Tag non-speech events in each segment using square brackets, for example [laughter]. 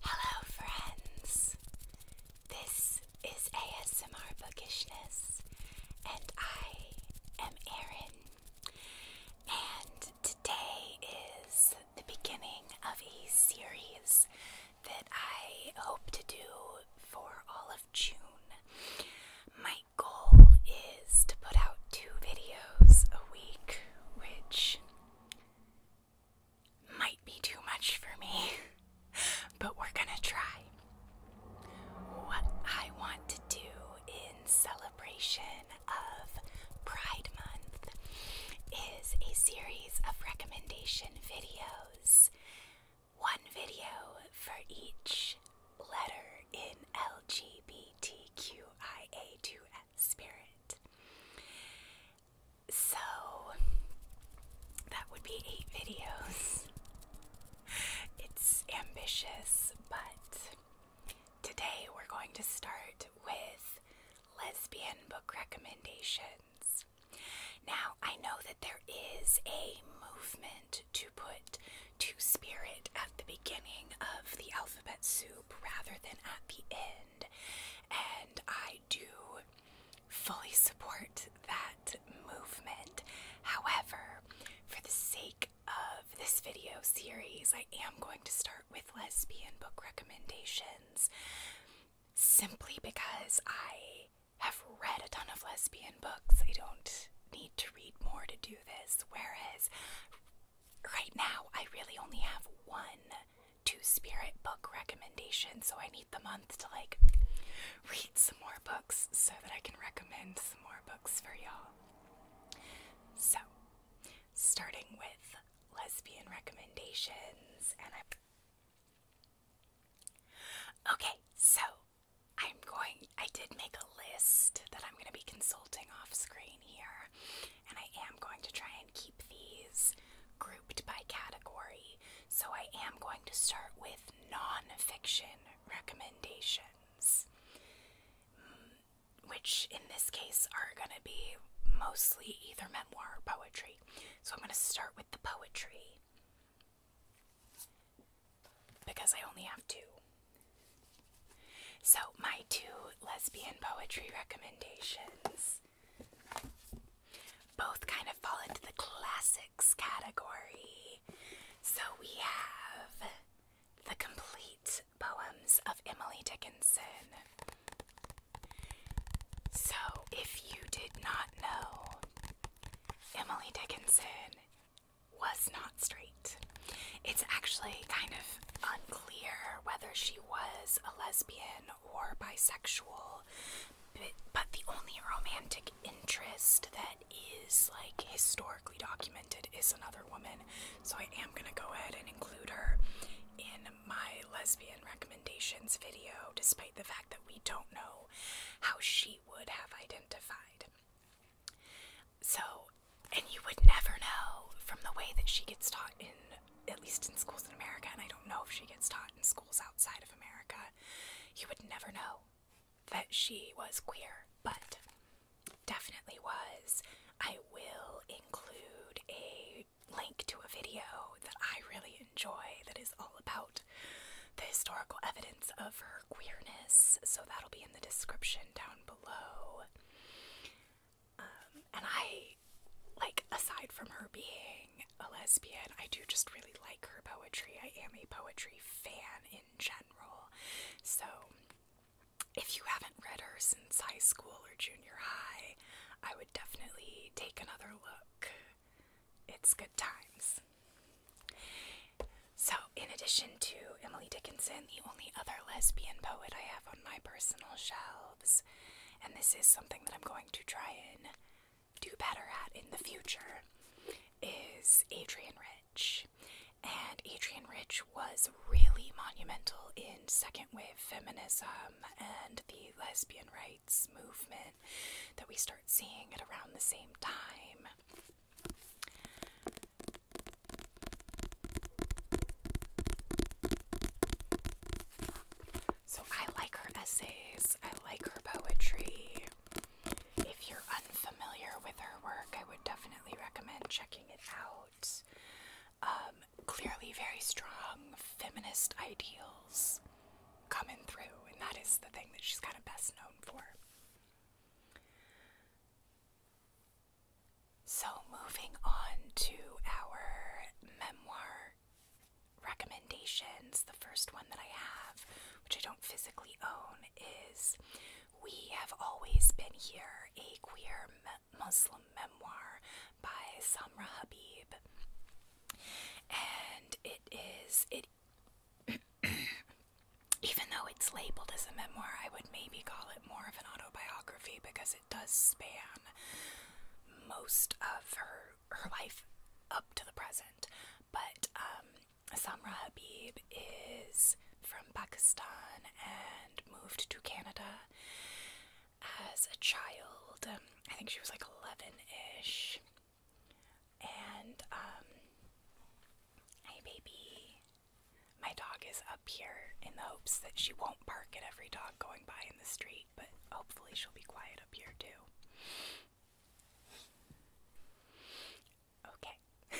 Hello, friends. This is ASMR Bookishness, and I am Erin. And today is the beginning of a series that I hope to do for all of June. My goal is to put out two videos a week, which might be too much for me, [laughs] but we're gonna try. What I want to do in celebration of Pride Month a series of recommendation videos. One video for each letter in LGBTQIA2S spirit. So that would be eight videos. It's ambitious, but today we're going to start with lesbian book recommendations. Now, I know that there is a movement to put Two Spirit at the beginning of the alphabet soup rather than at the end, and I do fully support that movement. However, for the sake of this video series, I am going to start with lesbian book recommendations simply because I have read a ton of lesbian books. I don't need to read more to do this. Whereas right now, I really only have one Two Spirit book recommendation, so I need the month to like read some more books so that I can recommend some more books for y'all. So, starting with lesbian recommendations and I Okay, so I'm going I did make a list that I'm gonna be consulting off screen here and I am going to try and keep these grouped by category. So I am going to start with nonfiction recommendations. Mm, which in this case are going to be mostly either memoir or poetry. So I'm going to start with the poetry because I only have two. So, my two lesbian poetry recommendations both kind of fall into the classics category. So, we have The Complete Poems of Emily Dickinson. So, if you did not know, Emily Dickinson was not straight. It's actually kind of unclear whether she was a lesbian or bisexual, but, the only romantic interest that is like historically documented is another woman. So I am going to go ahead and include her in my lesbian recommendations video, despite the fact that we don't know how she would have identified. So, and you would never know from the way that she gets taught in, at least in schools in America, and I don't know if she gets taught in schools outside of America, you would never know that she was queer, but definitely was. I will include a link to a video that I really enjoy that is all about the historical evidence of her queerness, so that'll be in the description down below. Um, and I, like, aside from her being a lesbian, I do just really like her poetry. I am a poetry fan in general. So, if you haven't read her since high school or junior junior high, I would definitely take another look. It's good times. So, in addition to Emily Dickinson, the only other lesbian poet I have on my personal shelves, and this is something that I'm going to try and do better at in the future, is Adrian Rich. And Adrian Rich was really monumental in second wave feminism and the lesbian rights movement that we start seeing at around the same time. So I like her essays, I like her poetry. If you're unfamiliar with her work, I would definitely recommend checking it out. Um, clearly very strong feminist ideals coming through, and that is the thing that she's kind of best known for. So, moving on to our memoir recommendations, the first one that I have, which I don't physically own, is We Have Always Been Here, a queer Muslim memoir by Samra Habib, and it is it. [clears throat] Even though it's labeled as a memoir, I would maybe call it more of an autobiography because it does span most of her her life up to the present. But um, Samra Habib is from Pakistan and moved to Canada as a child. Um, I think she was like 11 ish. And, um, baby, my dog is up here in the hopes that she won't bark at every dog going by in the street, but hopefully she'll be quiet up here too. Okay. [laughs]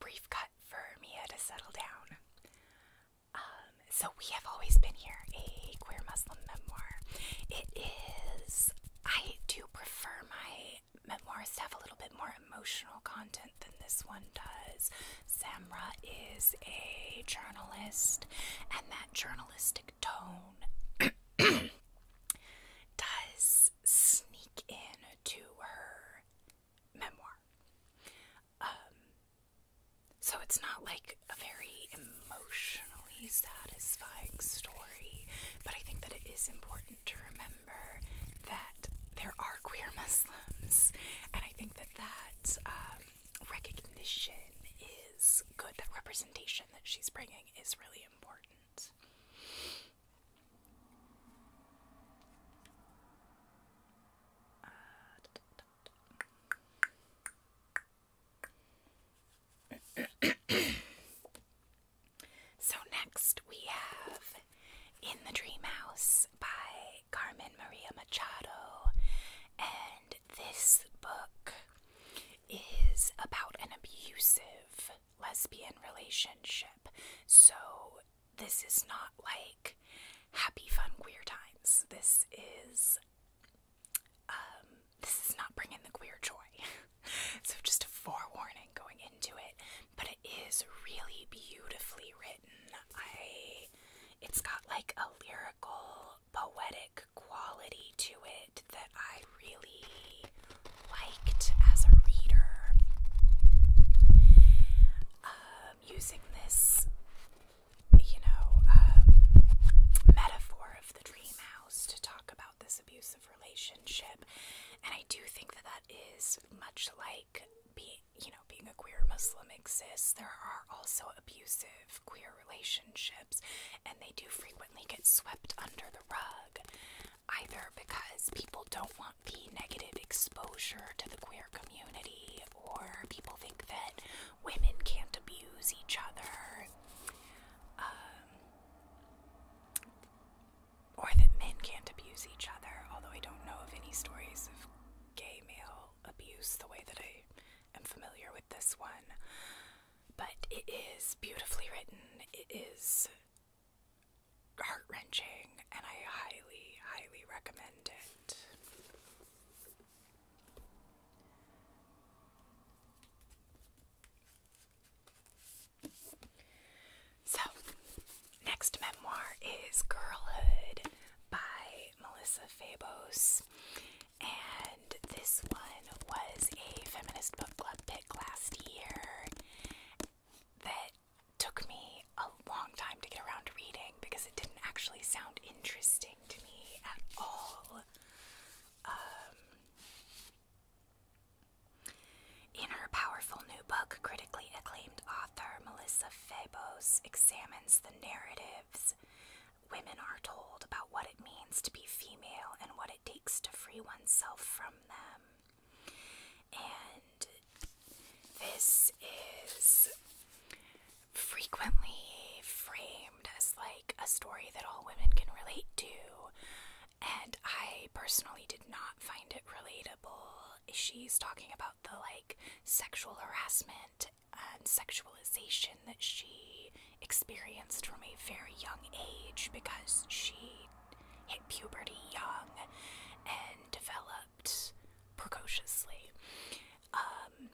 Brief cut for Mia to settle down. Um, so we have always been here, a queer Muslim memoir. It is. I do prefer my memoirs to have a little bit more emotional content than this one does. Samra is a journalist, and that journalistic tone [clears throat] does sneak in to her memoir. Um, so it's not like a very emotionally satisfying story, but I think that it is important to remember that there are queer Muslims, and I think that that um, recognition is good. That representation that she's bringing is really important. Uh, so next we have In the Dream House by Carmen Maria Machado and this book is about an abusive lesbian relationship. So this is not like happy, fun, queer times. This is, um, this is not bringing the queer joy. [laughs] so just a forewarning going into it, but it is really beautifully written. I, it's got like a lyrical, poetic quality to it that I really liked as a reader. Um, using this you know, um, metaphor of the dream house to talk about this abusive relationship. And I do think that that is much like being, you know, being a queer Muslim exists. There are also abusive queer relationships, and they do frequently get swept under the rug, either because people don't want the negative exposure to the queer community or people think that women can't abuse each other, um, or that men can't abuse each other, although I don't know of any stories of gay male abuse the way that I am familiar with this one. But it is beautifully written, it is heart wrenching, and I highly, highly recommend it. So, next memoir is Girlhood by Melissa Fabos. And this one was a feminist book club pick last year that took me long time to get around reading because it didn't actually sound interesting to me at all. Um, in her powerful new book, critically acclaimed author Melissa Fabos examines the narratives women are told about what it means to be female and what it takes to free oneself from them. And this is frequently framed as like a story that all women can relate to. And I personally did not find it relatable. She's talking about the like sexual harassment and sexualization that she experienced from a very young age because she hit puberty young and developed precociously. Um,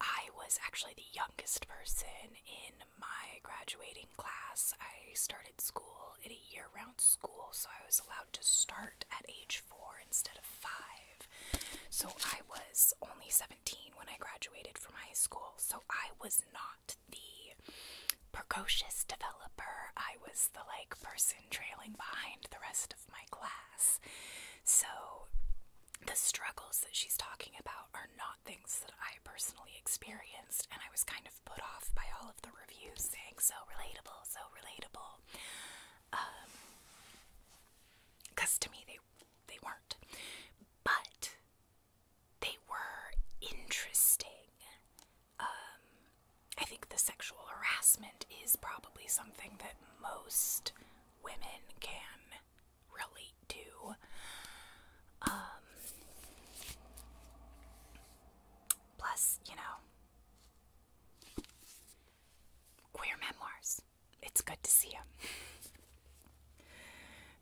I was actually the youngest person in my graduating class. I started school in a year round school, so I was allowed to start at age four instead of five. So I was only 17 when I graduated from high school, so I was not the precocious developer. I was the like person trailing behind the rest of my class. So the struggles that she's talking about are not things that I personally experienced, and I was kind of put off by all of the reviews saying so relatable, so relatable. because um, to me they they weren't, but they were interesting. Um, I think the sexual harassment is probably something that most women can relate to. Um, plus, you know, queer memoirs. It's good to see them.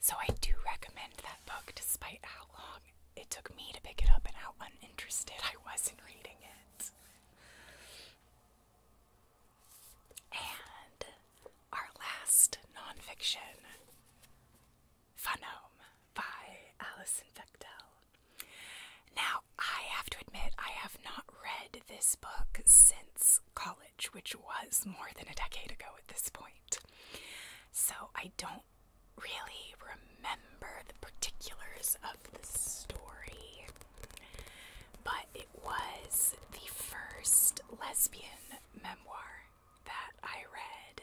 So, I do recommend that book despite how long it took me to pick it up and how uninterested I was in reading it. And our last nonfiction, Funome by Alison Bechtel. Now, I have to admit, I have not read this book since college, which was more than a decade ago at this point. So I don't really remember the particulars of the story but it was the first lesbian memoir that I read,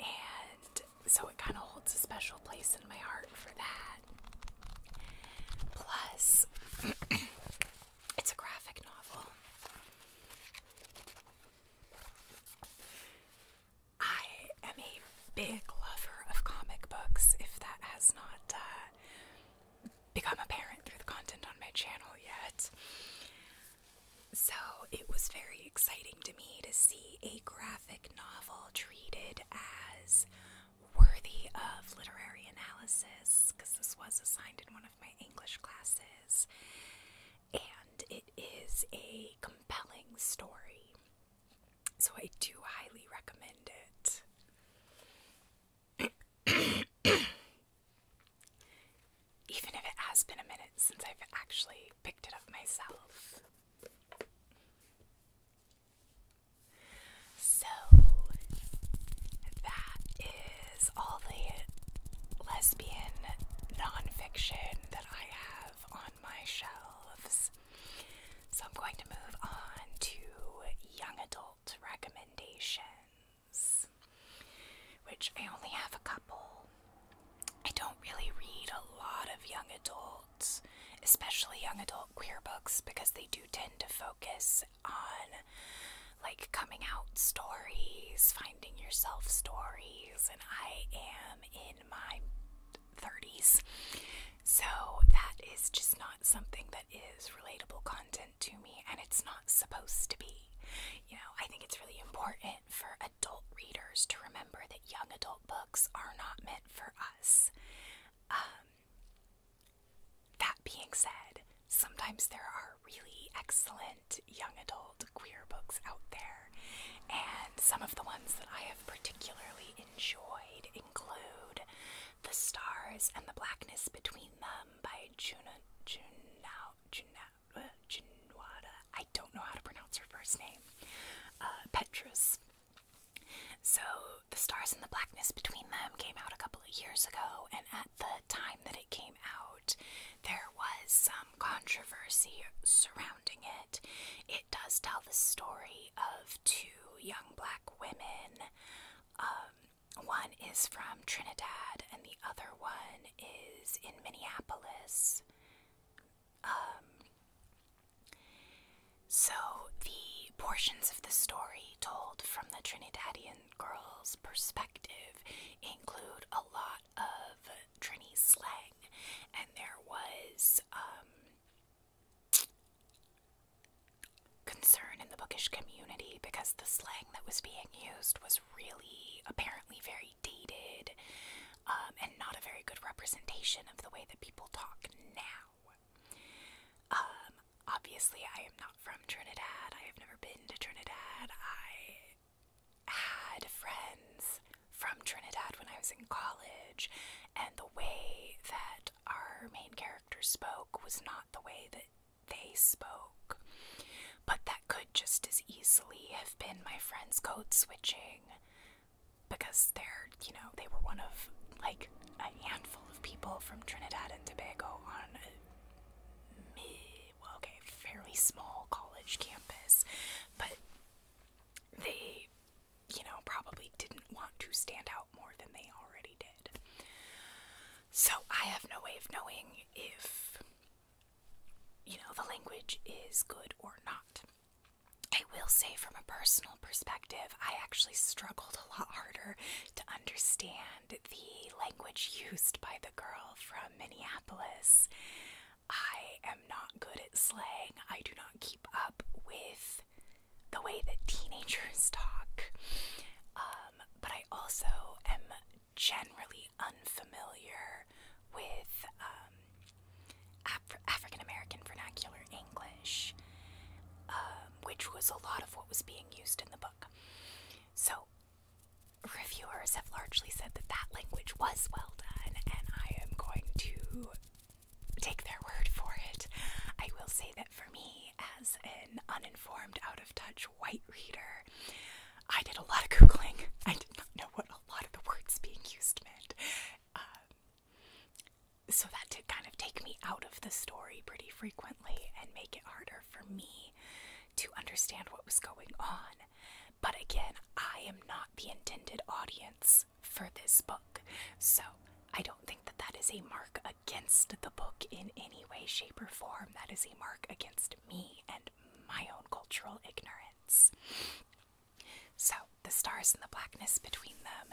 and so it kind of holds a special place in my heart for that. Plus, [clears throat] it's a graphic novel. I am a big lover of comic books, if that has not uh, become a parent through the content on my channel yet. So it was very exciting to me to see a graphic novel treated as worthy of literary analysis, because this was assigned in one of my English classes. And it is a compelling story. So I do highly recommend it. Even if it has been a minute since I've actually picked it up myself. So, that is all the lesbian nonfiction that I have on my shelves. So, I'm going to move on to young adult recommendations, which I only have a couple. I don't really read a lot of young adults, especially young adult queer books, because they do tend to focus on like coming out stories, finding yourself stories, and I am in my 30s. So that is just not something that is relatable content to me, and it's not supposed to be. You know, I think it's really important for adult readers to remember that young adult books are not meant for us. Um, that being said, sometimes there are really excellent young adult queer books out there, and some of the ones that I have particularly enjoyed include the Stars and the Blackness Between Them by Juno Juno Junao, uh, Junwada. I don't know how to pronounce her first name. Uh, Petrus. So, The Stars and the Blackness Between Them came out a couple of years ago, and at the time that it came out, there was some controversy surrounding it. It does tell the story of two young black women um, one is from Trinidad, and the other one is in Minneapolis. Um, so, the portions of the story told from the Trinidadian girl's perspective include a lot of Trini slang, and there was um, concern in the bookish community because the slang that was being used was really apparently very dated um, and not a very good representation of the way that people talk now. Um, obviously, I am not from Trinidad. I have never been to Trinidad. I had friends from Trinidad when I was in college, and the way that our main character spoke was not the way that they spoke. But that could just as easily have been my friend's code switching because they're, you know, they were one of like a handful of people from Trinidad and Tobago on a, well, okay, fairly small college campus, but they, you know, probably didn't want to stand out more than they already did. So I have no way of knowing if, you know, the language is good or not. I will say, from a personal perspective, I actually struggled a lot harder to understand the language [laughs] used by the girl from Minneapolis. I am not good at slang. I do not keep up with the way that teenagers talk. Um, but I also am generally unfamiliar with um, African American vernacular English, um, which was a lot of what was being used in the book. So, reviewers have largely said that that language was well done, and I am going to take their word for it. I will say that for me as an uninformed, out of touch white reader, I did a lot of Googling. [laughs] I did not know what a lot of the words being used meant. Um, so that did kind of take me out of the story pretty frequently and make it harder for me to understand what was going on. But again, I am not the intended audience for this book. So I don't think that that is a mark against the book in any way, shape, or form, that is a mark against me and my own cultural ignorance. So, the stars and the blackness between them.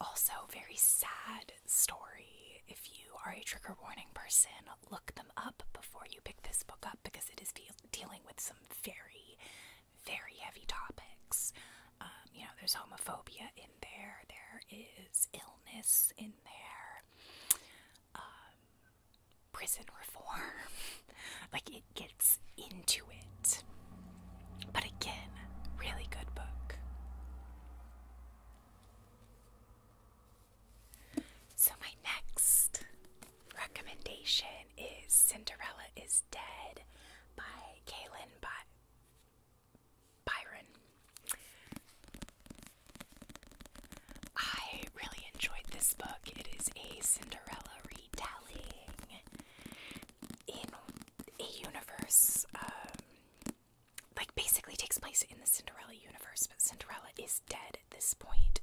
Also, very sad story. If you are a trigger warning person, look them up before you pick this book up because it is dealing with some very, very heavy topics. Um, you know, there's homophobia in there, there is illness in there, um, prison reform. [laughs] like, it gets into it. But again, really good book. So, my next recommendation is Cinderella is Dead by Kaylin By Byron. I really enjoyed this book. It is a Cinderella retelling in a universe, um, like basically takes place in the Cinderella universe, but Cinderella is dead at this point,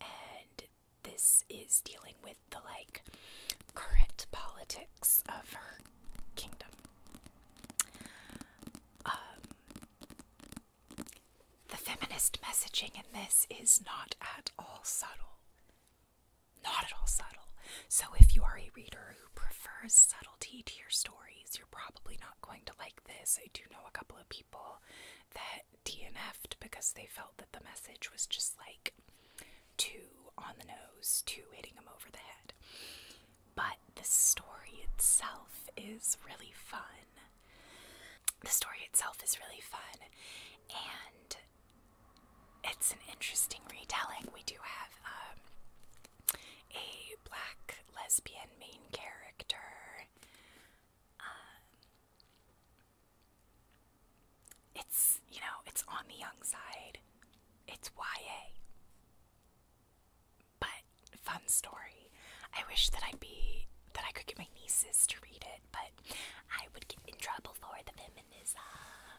and this is dealing with the like current politics of her kingdom. Um, the feminist messaging in this is not at all subtle. Not at all subtle. So, if you are a reader who prefers subtlety to your stories, you're probably not going to like this. I do know a couple of people that DNF'd because they felt that the message was just like too on the nose, too hitting them over the head but the story itself is really fun. The story itself is really fun, and it's an interesting retelling. We do have um, a black lesbian main character. Um, it's, you know, it's on the young side. It's YA. But fun story. I wish that I'd be that I could get my nieces to read it, but I would get in trouble for the feminism.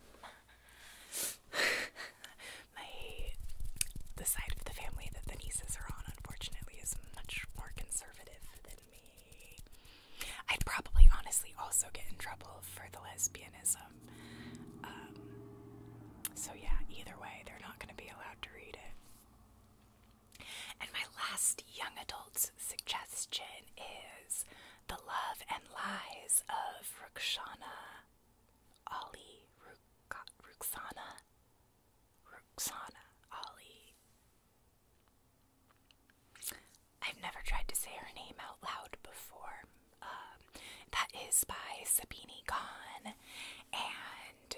[laughs] my the side of the family that the nieces are on, unfortunately, is much more conservative than me. I'd probably honestly also get in trouble for the lesbianism um, so, yeah, either way, they're not going to be allowed to read it. And my last young adult's suggestion is The Love and Lies of Rukshana Ali. Ruk Ruksana. Ali. I've never tried to say her name out loud before. Um, that is by Sabine Khan, and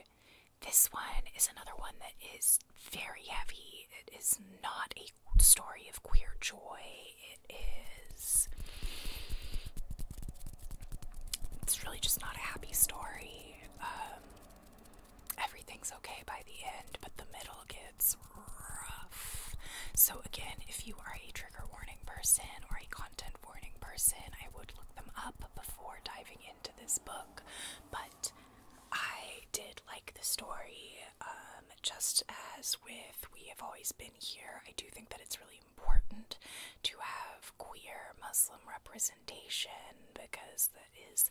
this one is another one that is very heavy. It is not a story of queer joy. It is. It's really just not a happy story. Um, everything's okay by the end, but the middle gets rough. So, again, if you are a trigger warning person or a content person. I would look them up before diving into this book, but I did like the story. Um, just as with We Have Always Been Here, I do think that it's really important to have queer Muslim representation because that is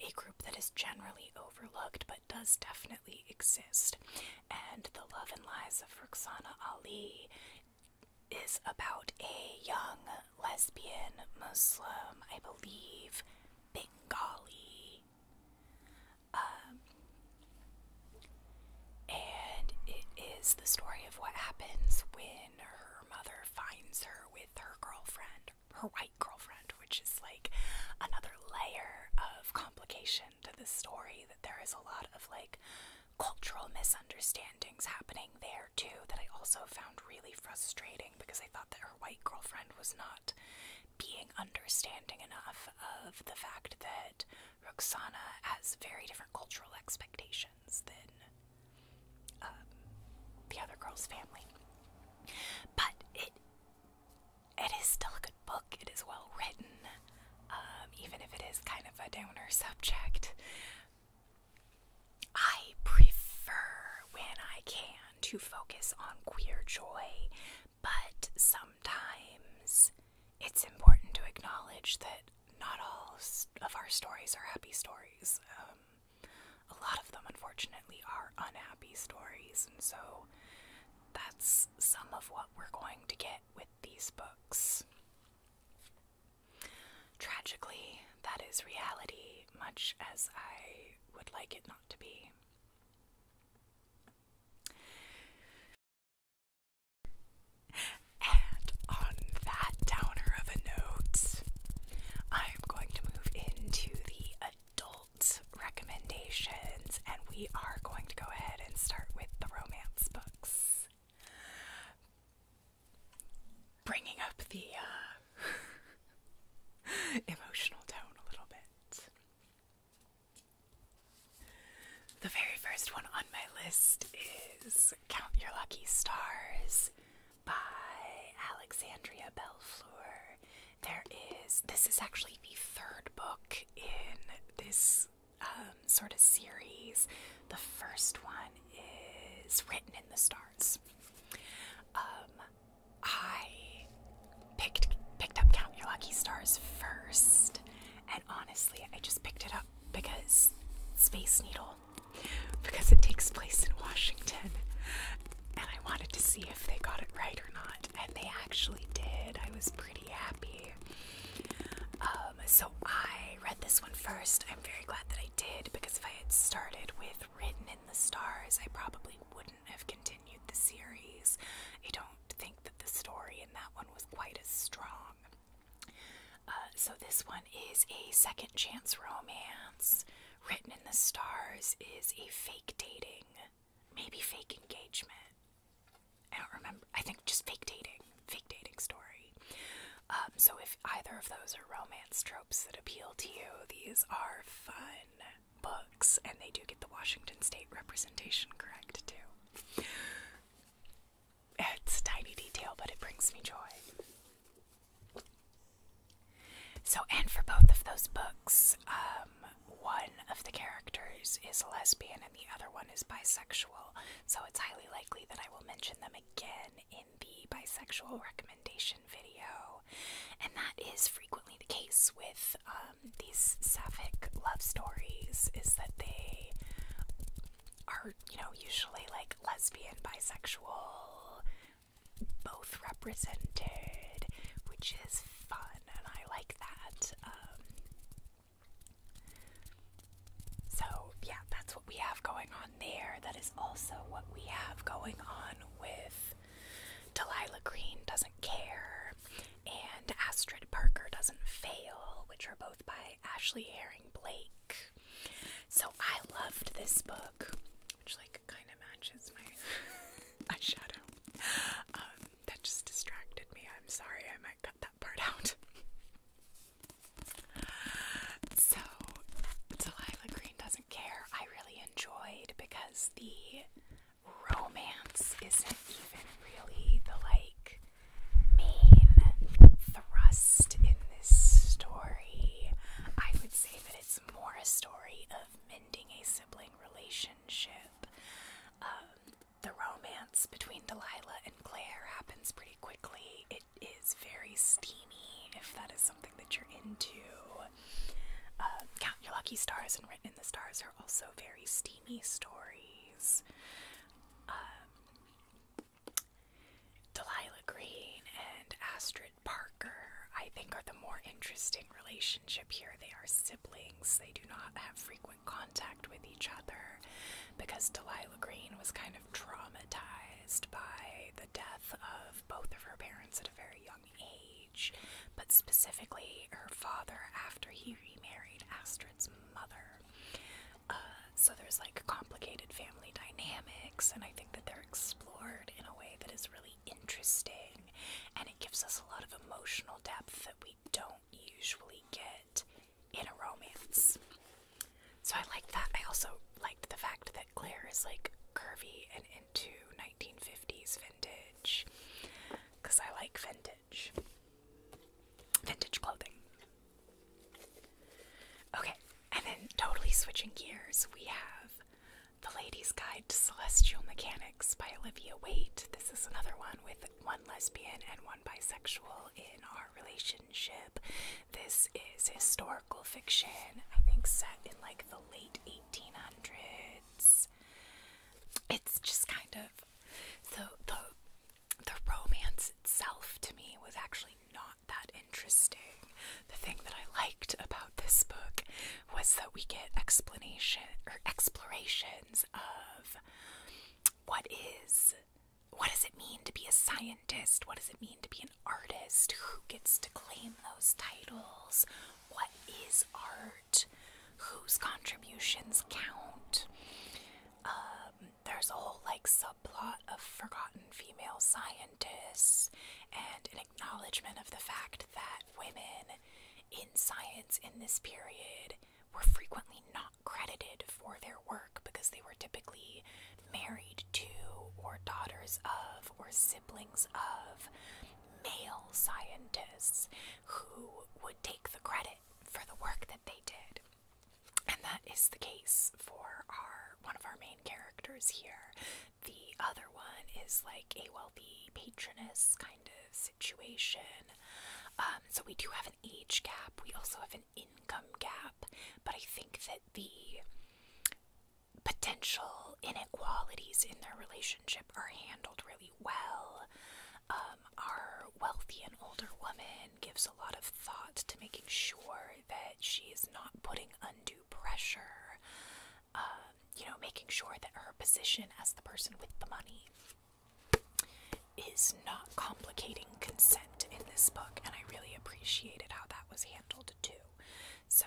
a group that is generally overlooked but does definitely exist. And The Love and Lies of Roxana Ali is about a young lesbian Muslim, I believe, Bengali. Um, and it is the story of what happens when her mother finds her with her girlfriend, her white girlfriend, which is like another layer of complication to the story that there is a lot of like cultural misunderstandings happening there too that I also found really frustrating because I thought that her white girlfriend was not being understanding enough of the fact that Roxana has very different cultural expectations than um, the other girl's family. But it it is still a good book. It is well written. Um, even if it is kind of a downer subject. I prefer when I can to focus on queer joy, but sometimes it's important to acknowledge that not all of our stories are happy stories. Um, a lot of them, unfortunately, are unhappy stories, and so that's some of what we're going to get with these books. Tragically, that is reality, much as I would like it not to be. And on that downer of a note, I'm going to move into the adult recommendations, and we are going to go ahead and start with the romance books bringing up the uh, [laughs] emotional tone a little bit. The very first one on my list is Count Your Lucky Stars by Alexandria Belfour. There is, this is actually the third book in this um, sort of series. The first one is Written in the Stars. Um, I picked picked up Count Your Lucky Stars first, and honestly, I just picked it up because Space Needle, because it takes place in Washington, and I wanted to see if they got it right or not, and they actually did. I was pretty happy. Um, um, so I read this one first. I'm very glad that I did because if I had started with Written in the Stars, I probably wouldn't have continued the series. I don't think that the story in that one was quite as strong. Uh, so this one is a second chance romance. Written in the Stars is a fake dating, maybe fake engagement. I don't remember. I think just fake dating, fake dating story. Um, so if either of those are romance tropes that appeal to you, these are fun books, and they do get the Washington State representation correct too. It's a tiny detail, but it brings me joy. So, and for both of those books, um, one of the characters is a lesbian and the other one is bisexual, so it's highly likely that I will mention them again in the bisexual recommendation video. And that is frequently the case with um, these sapphic love stories, is that they are, you know, usually like lesbian, bisexual, both represented, which is fun, and I like that. Um, so, yeah, that's what we have going on there. That is also what we have going on with Delilah Green Doesn't Care and Astrid Parker Doesn't Fail, which are both by Ashley Herring Blake. So, I loved this book, which, like, kind of matches my [laughs] eyeshadow. Um, that just distracted me. I'm sorry, I might cut that that [laughs] So, Delilah Green Doesn't Care, I really enjoyed because the romance isn't even really the like main thrust in this story. I would say that it's more a story of mending a sibling relationship. Um, the romance between Delilah and Claire happens pretty quickly. It is very steamy, if that is something that you're into. Uh, Count Your Lucky Stars and Written in the Stars are also very steamy stories. Um, Delilah Green and Astrid Parker, I think, are the more interesting relationship here. They are siblings, they do not have frequent contact with each other because Delilah Green was kind of traumatized by the death of both of her parents at a very young age, but specifically her father after he remarried Astrid's mother. Uh, so there's like complicated family dynamics, and I think that they're explored in a way that is really interesting and it gives us a lot of emotional depth that we don't usually get in a romance. So I liked that. I also liked the fact that Claire is like curvy and into 1950s vintage because I like vintage. Vintage clothing. Okay, and then totally switching gears, we have The Lady's Guide to Celestial Mechanics by Olivia Waite. This is another one with one lesbian and one bisexual in our relationship. This is historical fiction, I think set in like the late 1800s. It's just kind of the the the romance itself to me was actually not that interesting. The thing that I liked about this book was that we get explanations or er, explorations of what is what does it mean to be a scientist? What does it mean to be an artist? Who gets to claim those titles? What is art? Whose contributions count? Um, there's a whole like subplot of forgotten female scientists and an acknowledgement of the fact that women in science in this period were frequently not credited for their work because they were typically married to, or daughters of, or siblings of male scientists who would take the credit for the work that they did. And that is the case for our one of our main characters here. The other one is like a wealthy patroness kind of situation. Um, so we do have an age gap. We also have an income gap, but I think that the potential inequalities in their relationship are handled really well. Um, our wealthy and older woman gives a lot of thought to making sure that she is not putting undue pressure, uh, you know, making sure that her position as the person with the money is not complicating consent in this book, and I really appreciated how that was handled too. So,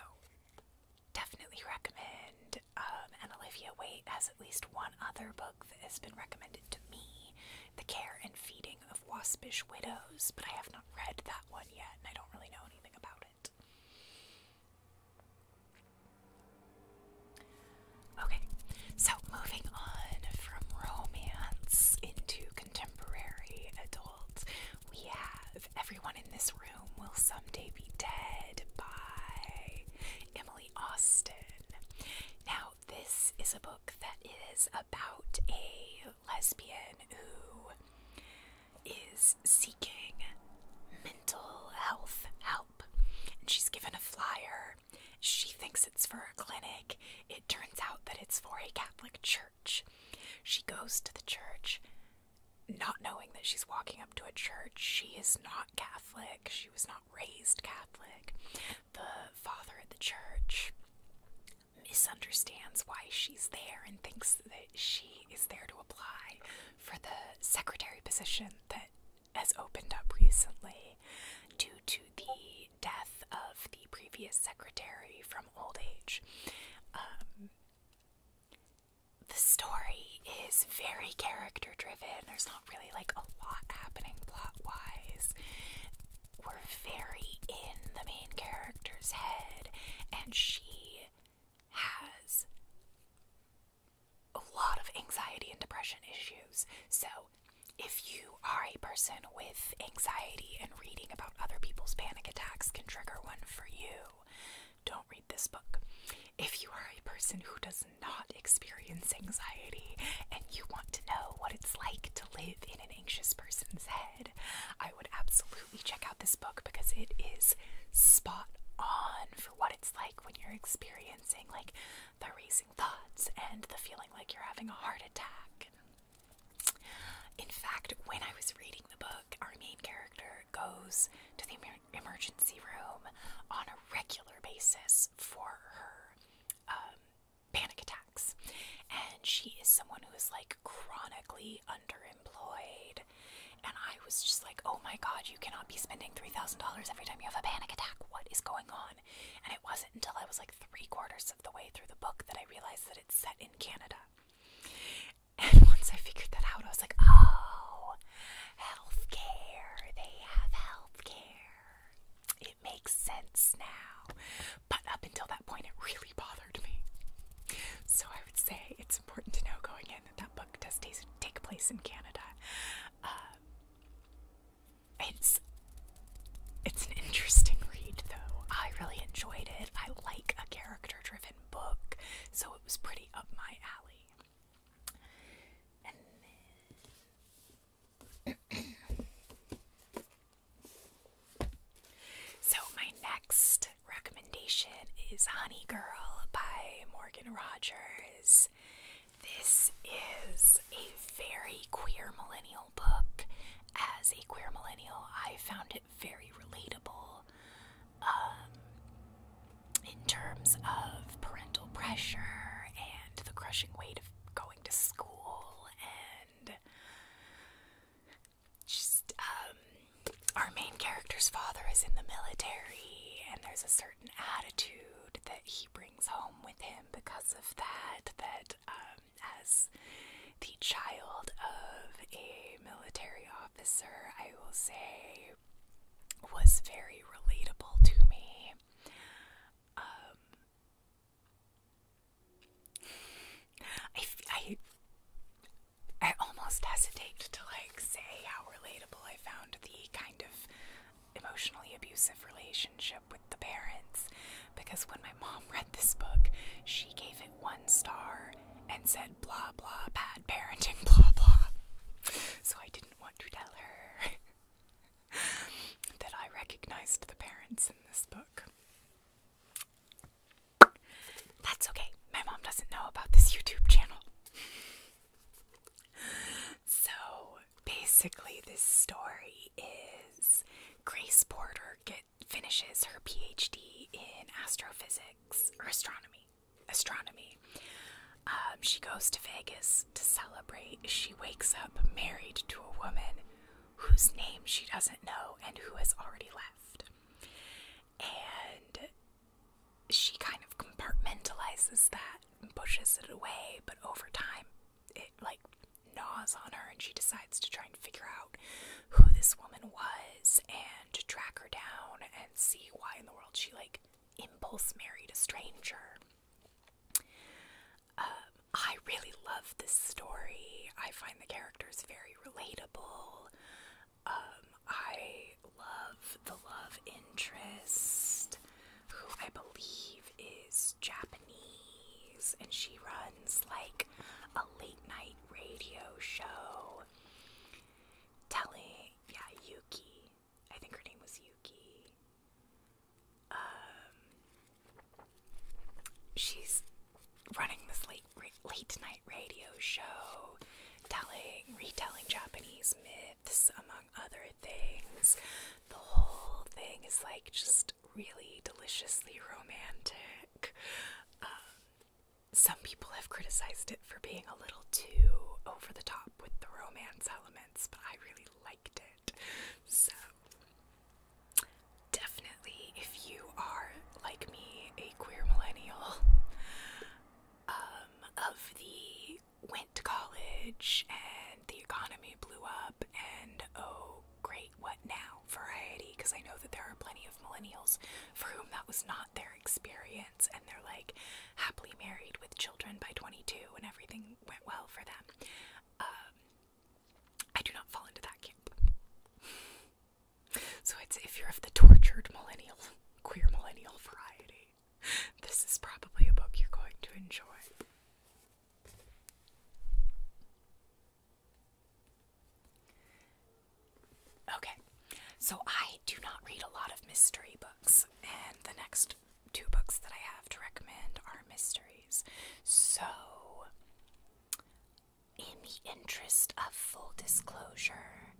definitely recommend. Um, and Olivia Wait has at least one other book that has been recommended to me The Care and Feeding of Waspish Widows, but I have not read that one yet, and I don't really know anything about it. Okay, so moving on from romance into contemporary adults, we have Everyone in This Room Will Someday Be Dead by Emily Austin. Now, this is a book that is about a lesbian who is seeking mental health help. And she's given a flyer she thinks it's for a clinic. It turns out that it's for a Catholic church. She goes to the church, not knowing that she's walking up to a church. She is not Catholic. She was not raised Catholic. The father at the church misunderstands why she's there and thinks that she is there to apply for the secretary position that has opened up recently due to the death of the previous secretary from old age. Um, the story is very character driven. There's not really like a lot happening plot wise. We're very in the main character's head, and she has a lot of anxiety and depression issues. So if you are a person with anxiety and reading about other people's panic attacks can trigger one for you, don't read this book. If you are a person who does not experience anxiety and you want to know what it's like to live in an anxious person's head, I would absolutely check out this book because it is spot on for what it's like when you're experiencing like the racing thoughts and the feeling like you're having a heart attack. In fact, when I was reading the book, our main character goes to the emergency room on a regular basis for her um, panic attacks. And she is someone who is like chronically underemployed. And I was just like, oh my god, you cannot be spending $3,000 every time you have a panic attack. What is going on? And it wasn't until I was like three quarters of the way through the book that I realized that it's set in Canada. And [laughs] once I figured that out, I was like, oh, healthcare. They have healthcare. It makes sense now. But up until that point, it really bothered me. So I would say it's important to know going in that that book does take place in Canada. Um, it's it's an interesting read though. I really enjoyed it. I like a character-driven book, so it was pretty up my alley. [clears throat] So my next recommendation is Honey Girl by Morgan Rogers. This is a very queer millennial book. As a queer millennial, I found it very relatable um, in terms of parental pressure and the crushing weight of going to school and just um, our main character's father is in the military and there's a certain attitude that he brings home with him because of that. That um, as the child of a military officer, I will say was very relatable to me. Um, I, I, I almost hesitate to like say how relatable I found the kind of emotionally abusive relationship with the parents because when my mom read this book, she gave it one star and said, blah, blah, bad parenting, [laughs] blah, blah. So I didn't want to tell her [laughs] that I recognized the parents in this book. That's okay. My mom doesn't know about this YouTube channel. So basically, this story is Grace Porter finishes her PhD in astrophysics or astronomy. Astronomy. Um, she goes to Vegas to celebrate. She wakes up married to a woman whose name she doesn't know and who has already left. And she kind of compartmentalizes that and pushes it away, but over time, it like gnaws on her, and she decides to try and figure out who this woman was and to track her down and see why in the world she like impulse married a stranger. Um, I really love this story. I find the characters very relatable. Um, I love the love interest who I believe is Japanese, and she runs like a late night radio show telling, yeah, Yuki. I think her name was Yuki. Um, she's running this late late night radio show, telling retelling Japanese myths among other things the whole thing is like just really deliciously romantic. Um, some people have criticized it for being a little too over the top with the romance elements, but I really liked it. So, definitely, if you are like me, a queer millennial um, of the went to college and the economy blew up, and oh, great, what now? Variety, because I know that there are plenty of millennials for whom that was not their experience, and they're like happily married with children by 22, and everything went well for them. Um, I do not fall into that camp. [laughs] So it's if you're of the tortured millennial, [laughs] queer millennial variety, [laughs] this is probably a book you're going to enjoy. Okay, so I do not read a lot of mystery books, and the next two books that I have to recommend are mysteries. So, in the interest of full disclosure,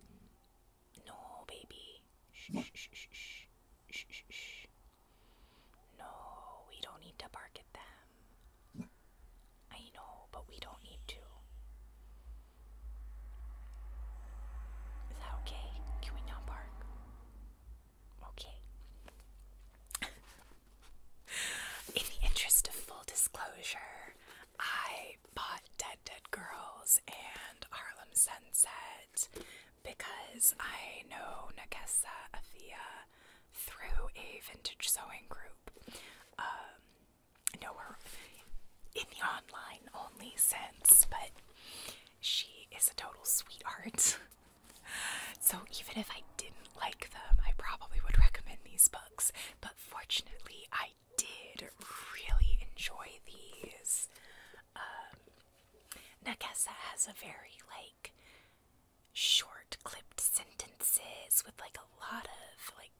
no, baby. Shh, shh, shh. No, we don't need to bark at them. I know, but we don't need to. Is that okay? Can we not bark? Okay. [laughs] In the interest of full disclosure, I bought Dead Dead Girls and Harlem Sunset because I know Nagesa Athea through a vintage sewing group. Um, know her in the online only sense, but she is a total sweetheart. [laughs] so even if I didn't like them, I probably would recommend these books. But fortunately, I did really enjoy these. Um, has a very like short clipped sentences with like a lot of like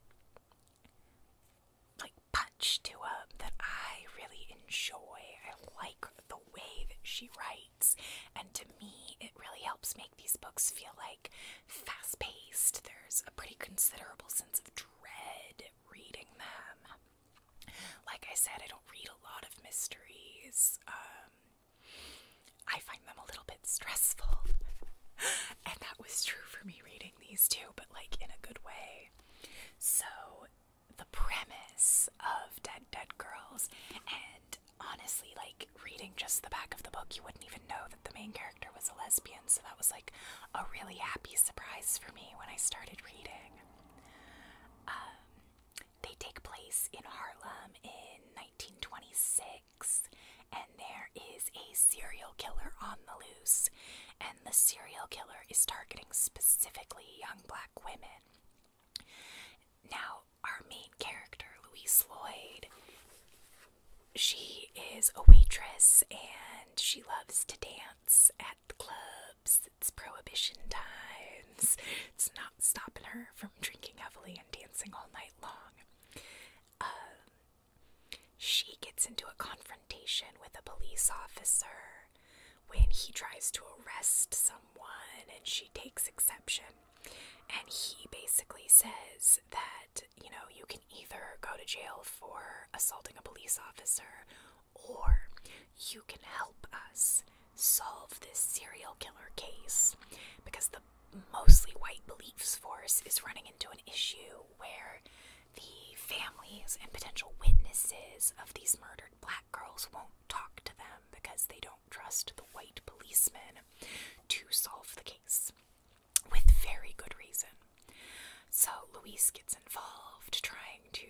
like punch to them that I really enjoy. I like the way that she writes, and to me, it really helps make these books feel like fast paced. There's a pretty considerable sense of dread reading them. Like I said, I don't read a lot of mysteries. Um, I find them a little bit stressful. [laughs] and that was true for me reading these two, but like in a good way. So, the premise of Dead Dead Girls, and honestly, like reading just the back of the book, you wouldn't even know that the main character was a lesbian, so that was like a really happy surprise for me when I started reading. Um, they take place in Harlem in 1926, and there is a serial killer on the loose, and the serial killer is targeting specifically young black women. Now, our main character, Louise Lloyd, she is a waitress and she loves to dance at the clubs. It's prohibition time. It's not stopping her from drinking heavily and dancing all night long. Um, she gets into a confrontation with a police officer when he tries to arrest someone, and she takes exception. And he basically says that, you know, you can either go to jail for assaulting a police officer or you can help us solve this serial killer case because the mostly white police force is running into an issue where the families and potential witnesses of these murdered black girls won't talk to them because they don't trust the white policemen to solve the case with very good reason. So Louise gets involved trying to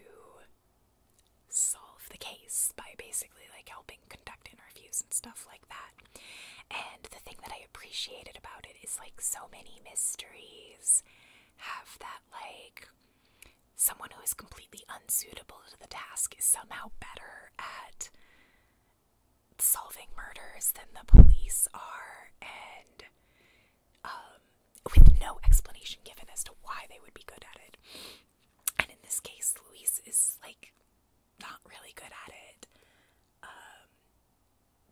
solve the case by basically like helping conduct interviews and stuff like that. And the thing that I appreciated about it is like so many mysteries have that like someone who is completely unsuitable to the task is somehow better at solving murders than the police are and um, with no explanation given as to why they would be good at it. And in this case, Louise is like not really good at it. Um,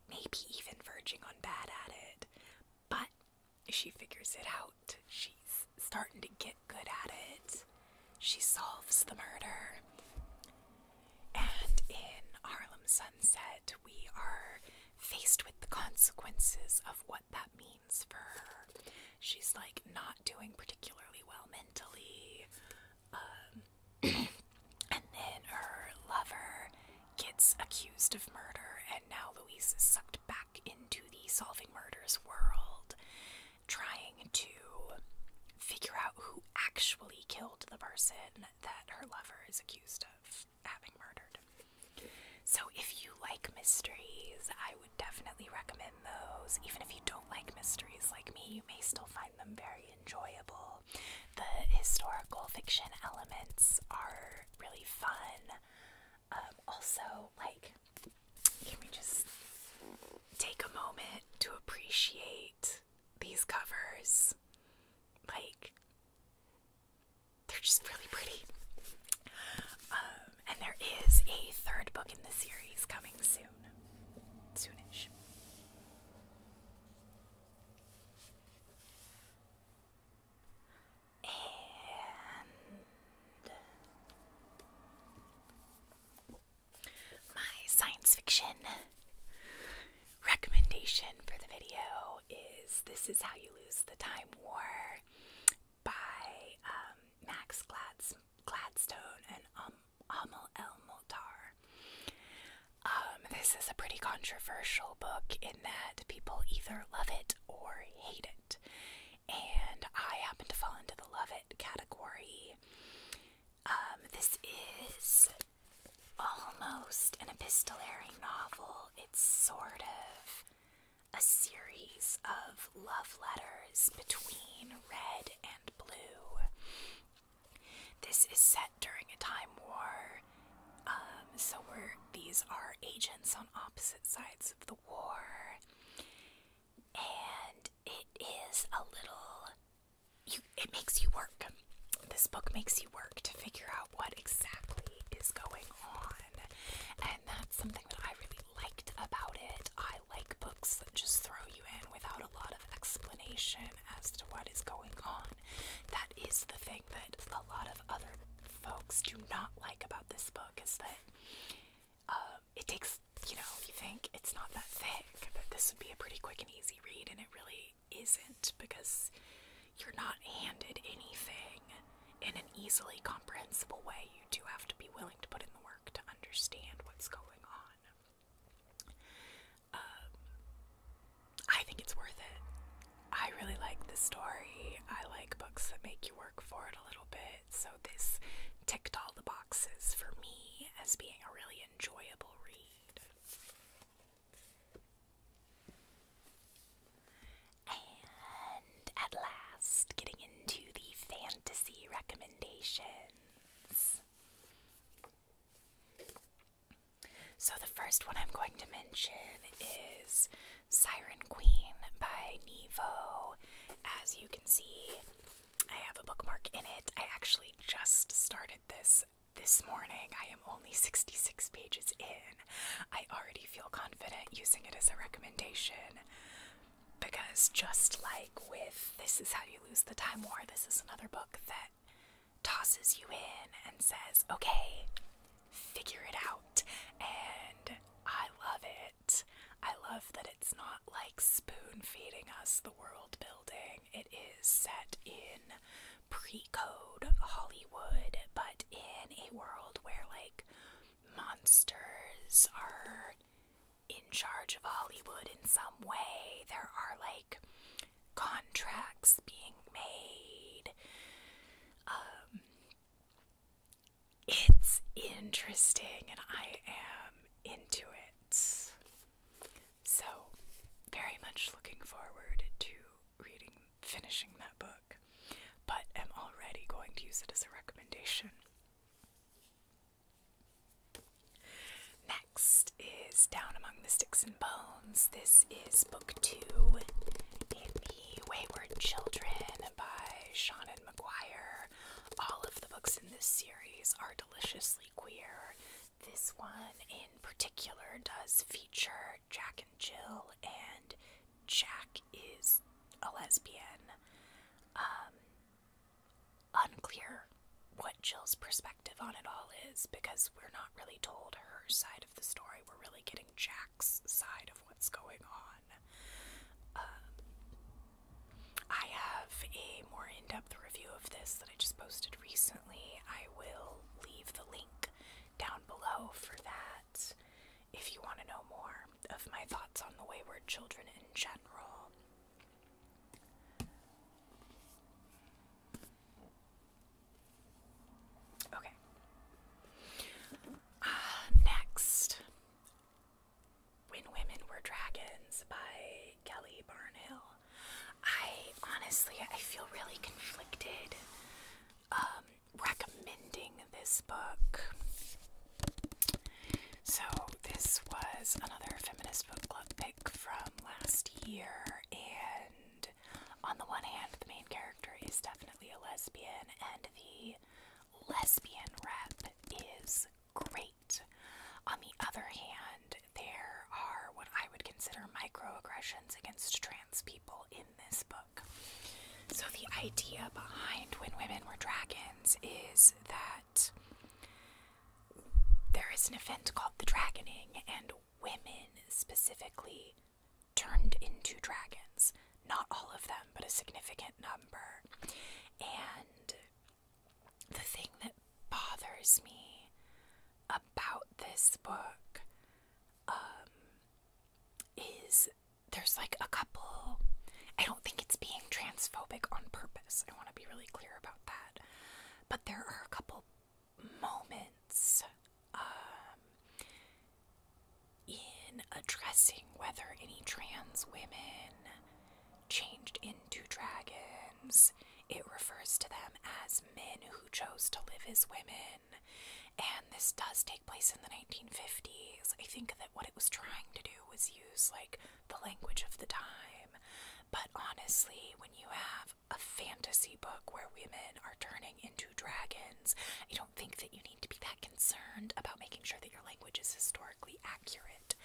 maybe even verging on bad at it. But she figures it out. She's starting to get good at it. She solves the murder. And in Harlem Sunset, we are faced with the consequences of what that means for her. She's like not doing particularly well mentally. Um, [clears throat] and then her lover gets accused of murder, and now Louise is sucked back into the solving murders world, trying to figure out who actually killed the person that her lover is accused of having murdered. So, if you like mysteries, I would definitely recommend those. Even if you don't like mysteries like me, you may still find them very enjoyable. The historical fiction elements are really fun. Um, also, like, can we just take a moment to appreciate these covers? Like, they're just really pretty. Um, and there is a third book in the series coming soon. Soonish. And my science fiction recommendation for the video is This Is How You Lose the Time War by um, Max Glatzman. Gladstone and um, Amal El Motar. Um, this is a pretty controversial book in that people either love it or hate it, and I happen to fall into the love it category. Um, this is almost an epistolary novel. It's sort of a series of love letters between red and blue. This is set during a time war, um, so we're, these are agents on opposite sides of the war. And it is a little. it makes you work. This book makes you work to figure out what exactly is going on. And that's something that I really liked about it like books that just throw you in without a lot of explanation as to what is going on. That is the thing that a lot of other folks do not like about this book is that um, it takes, you know, you think it's not that thick, that this would be a pretty quick and easy read, and it really isn't because you're not handed anything in an easily comprehensible way you do have to be willing to put in the work to understand what's going on. Um, I think it's worth it. I really like the story. I like books that make you work for it a little bit. So this ticked all the boxes for me as being a really enjoyable read at last, getting into the fantasy recommendations. So, the first one I'm going to mention is Siren Queen by Nevo. As you can see, I have a bookmark in it. I actually just started this this morning. I am only 66 pages in. I already feel confident using it as a recommendation. Because just like with This Is How You Lose the Time War, this is another book that tosses you in and says, okay, figure it out. And I love it. I love that it's not like spoon feeding us the world building. It is set in pre code Hollywood, but in a world where like monsters are in charge of Hollywood in some way. There are like contracts being made. Um, it's interesting and I am into it. So, very much looking forward to reading, finishing that book, but am already going to use it as a recommendation. Next is Down Among the Sticks and Bones. This is book two in the Wayward Children by Shannon McGuire. All of the books in this series are deliciously queer. This one in particular does feature Jack and Jill, and Jack is a lesbian. Um, Unclear what Jill's perspective on it all is because we're not really told her side of the story. We're really getting Jack's side of what's going on. Um, I have a more in depth review of this that I just posted recently. I will leave the link down below for that. If you want to know more of my thoughts on the wayward children in general, okay. Uh, next, When Women Were Dragons by Kelly Barnhill. I honestly, I feel really conflicted um, recommending this book. So, this was another feminist book club pick from last year, and on the one hand, the main character is definitely a lesbian, and the lesbian rep is great. On the other hand, there are what I would consider microaggressions against trans people in this book. So, the idea behind When Women Were Dragons is that there is an event called the Dragoning, and women specifically turned into dragons. Not all of them, but a significant number. And the thing that bothers me about this book um, is there's like a couple. I don't think it's being transphobic on purpose. I want to be really clear about that. But there are a couple moments um, in addressing whether any trans women changed into dragons. It refers to them as men who chose to live as women. And this does take place in the 1950s. I think that what it was trying to do was use like the language of the time. But honestly, when you have a fantasy book where women are turning into dragons, I don't think that you need to be that concerned about making sure that your language is historically accurate.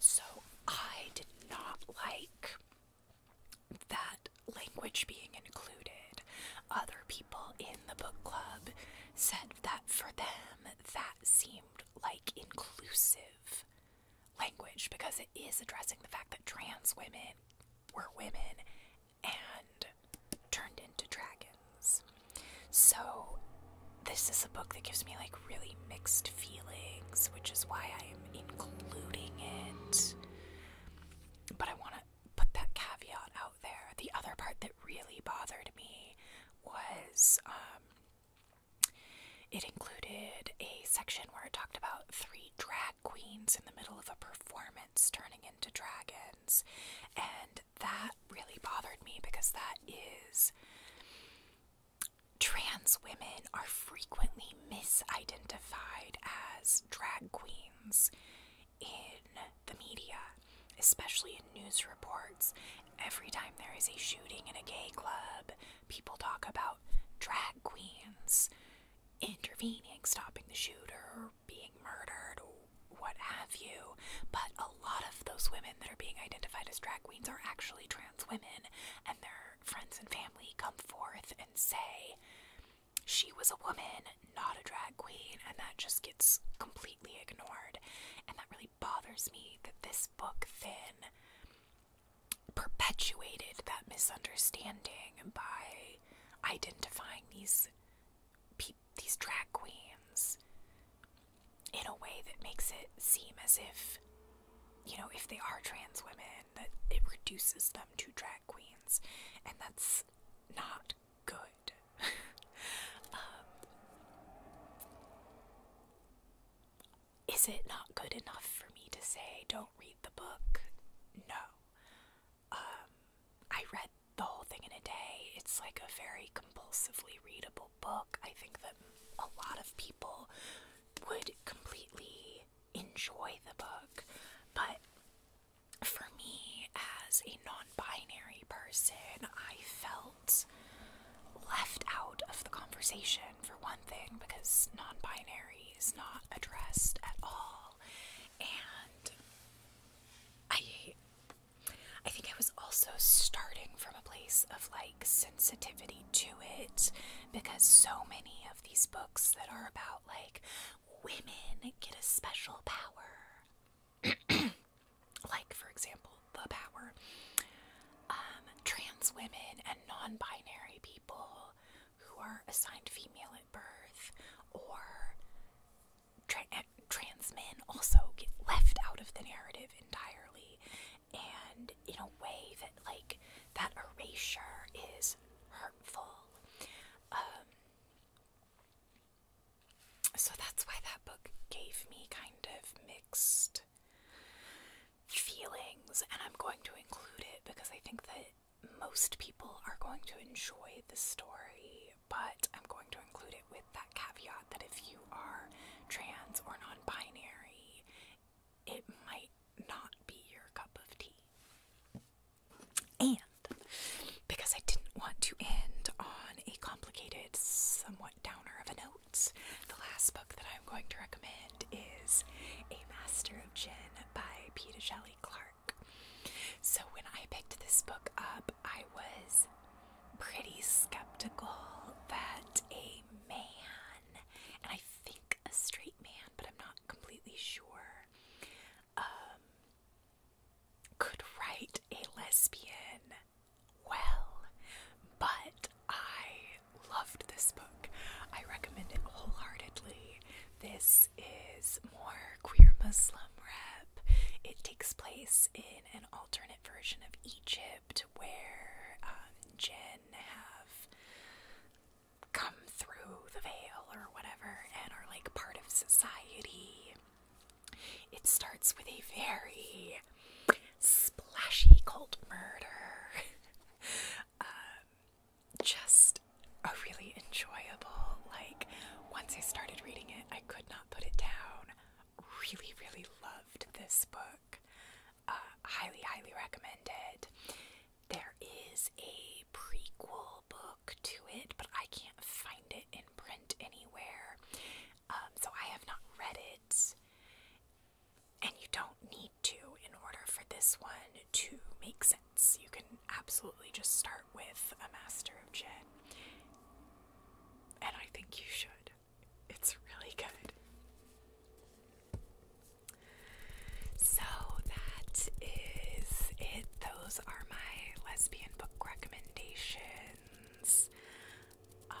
So I did not like that language being included. Other people in the book club said that for them that seemed like inclusive language because it is addressing the fact that trans women were women and turned into dragons. So, this is a book that gives me like really mixed feelings, which is why I am including it. But I want to put that caveat out there. The other part that really bothered me was um, it included a section where it talked about three drag queens in the middle of a performance turning into dragons, and that really bothered me because that is. Trans women are frequently misidentified as drag queens in the media, especially in news reports. Every time there is a shooting in a gay club, people talk about drag queens intervening, stopping the shooter, being murdered, what have you. But a lot of those women that are being identified as drag queens are actually trans women, and their friends and family come forth and say, she was a woman, not a drag queen, and that just gets completely ignored. And that really bothers me that this book thin perpetuated that misunderstanding by identifying these these drag queens in a way that makes it seem as if you know if they are trans women that it reduces them to drag queens and that's not good um, is it not good enough for me to say don't read the book? No. Um, I read the whole thing in a day. It's like a very compulsively readable book. I think that a lot of people would completely enjoy the book, but for me, as a non binary person, I felt left out of the conversation, for one thing, because non binary is not addressed at all. And I I think I was also starting from a place of like sensitivity to it because so many of these books that are about like women get a special power [coughs] like, for example, the power. Um, trans women and non binary people who are assigned female at birth or eh, trans men also get left out of the narrative entirely. And in a way that, like, that erasure is hurtful. Um, so that's why that book gave me kind of mixed feelings, and I'm going to include it because I think that most people are going to enjoy the story, but I'm going to include it with that caveat that if you are trans or non binary, it might not be your cup of tea. And because I didn't want to end on a complicated, somewhat downer of a note, the last book that I'm going to recommend is A Master of Gin by Peter Shelley Clark. So, when I picked this book up, I was pretty skeptical that a man, and I think a straight man, but I'm not completely sure, um, could write a lesbian well, but I loved this book. I recommend it wholeheartedly. This is more queer Muslim rep. It takes place in an alternate version of Egypt where um, have come through the veil or whatever and are like part of society. It starts with a very splashy cult murder. [laughs] Um, just a really enjoyable, like, once I started reading it, I could not put it down. Really, really loved this book. Uh, highly, highly recommended. There is a prequel book to it, but I can't find it in print anywhere. Um, so I have not read it, and you don't need to in order for this one to make sense. You can absolutely just start with A Master of Jin, and I think you should. It's really good. So that is it. Those are my lesbian book recommendations. Uh,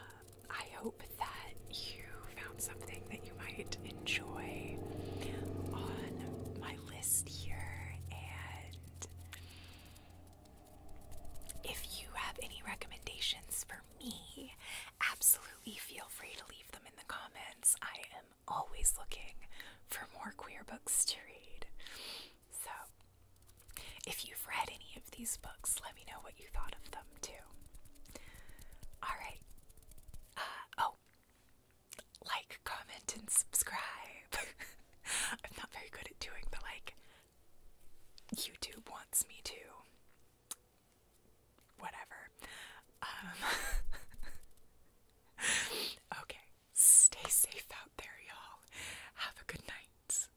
I hope that you found something that you might enjoy on my list here. And if you have any recommendations for me, absolutely feel free to leave them in the comments. I am always looking for more queer books to read. So if you've read any of these books, let me know what you thought of them too. Alright. Uh, oh, like, comment, and subscribe. [laughs] I'm not very good at doing the like, YouTube wants me to. Whatever. Um, [laughs] okay, stay safe out there, y'all. Have a good night.